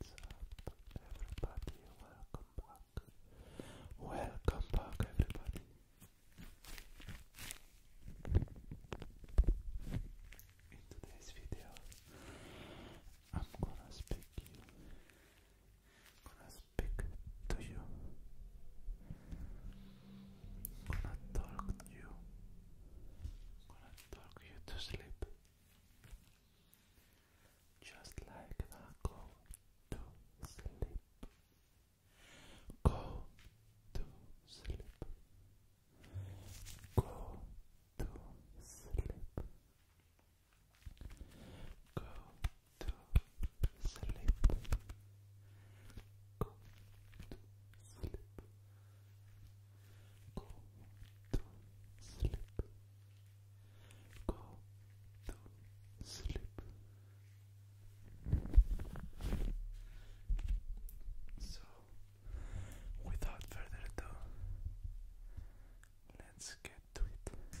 What's up, everybody? Welcome back. Welcome back, everybody. In today's video, I'm gonna speak to you gonna talk you. Gonna talk you to sleep. Just like that, go to sleep. Go to sleep. Go to sleep. Go to sleep, go to sleep, go to sleep, go to sleep. So, without further ado, let's get to it.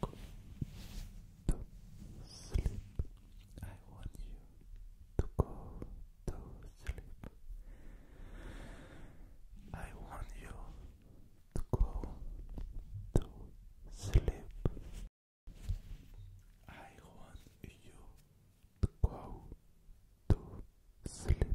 Go to sleep. I want you to go to sleep. I want you to go to sleep. I want you to go to sleep.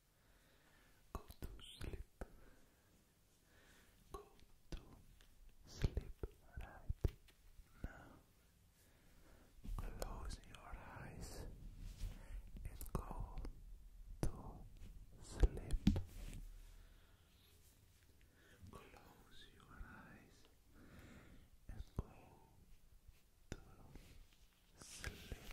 Go to sleep. Go to sleep right now. Close your eyes and go to sleep. Close your eyes and go to sleep.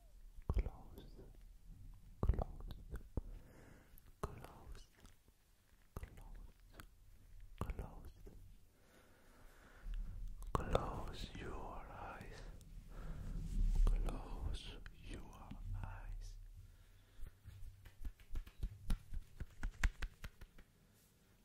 close, close, close, close, close close your eyes. Close your eyes.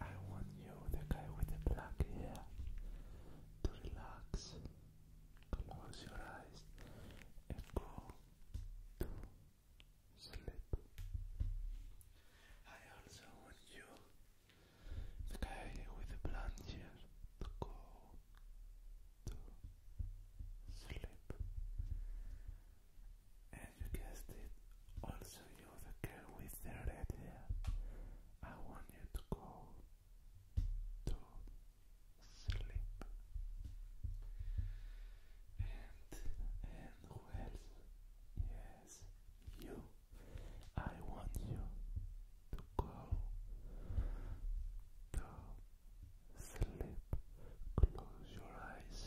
I want you, the guy with the black hair, to relax, close your eyes, and go to sleep. I also want you, the guy with the blonde hair, to go to sleep and you guessed it, also you the girl with the red hair. I want you to go to sleep. And and who else? Yes, you. I want you to go to sleep. Close your eyes.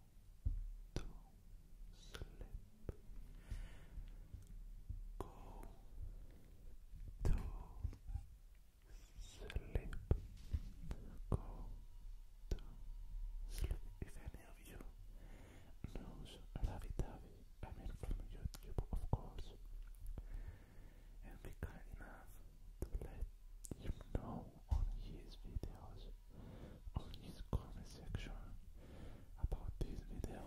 to sleep. Go to sleep. Go to sleep. If any of you knows Ravi Tavi, I mean from YouTube, of course, and be kind enough to let him know on his videos on his comment section about this video.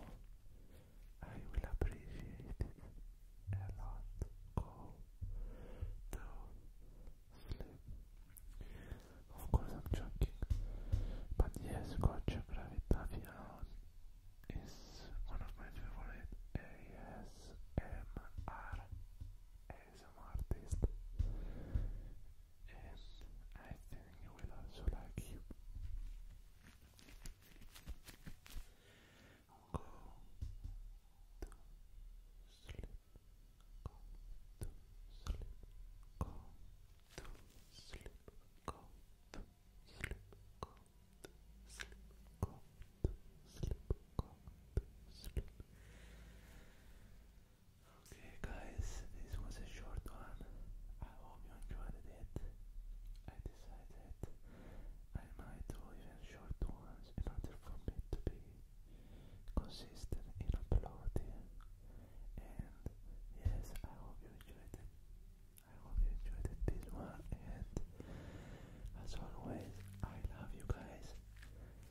I will appreciate it a lot. Go to sleep. Of course, I'm joking, but yes, Gotcha Gravitavian is one of my favorite ASMR some I think you will also like Go to sleep. Go to sleep. Go to sleep. Go to sleep. Go to sleep. Go to sleep. Okay, guys, this was a short one. I hope you enjoyed it. I decided I might do even short ones in order for me to be consistent in uploading. And yes, I hope you enjoyed it. I hope you enjoyed this one. And as always, I love you guys.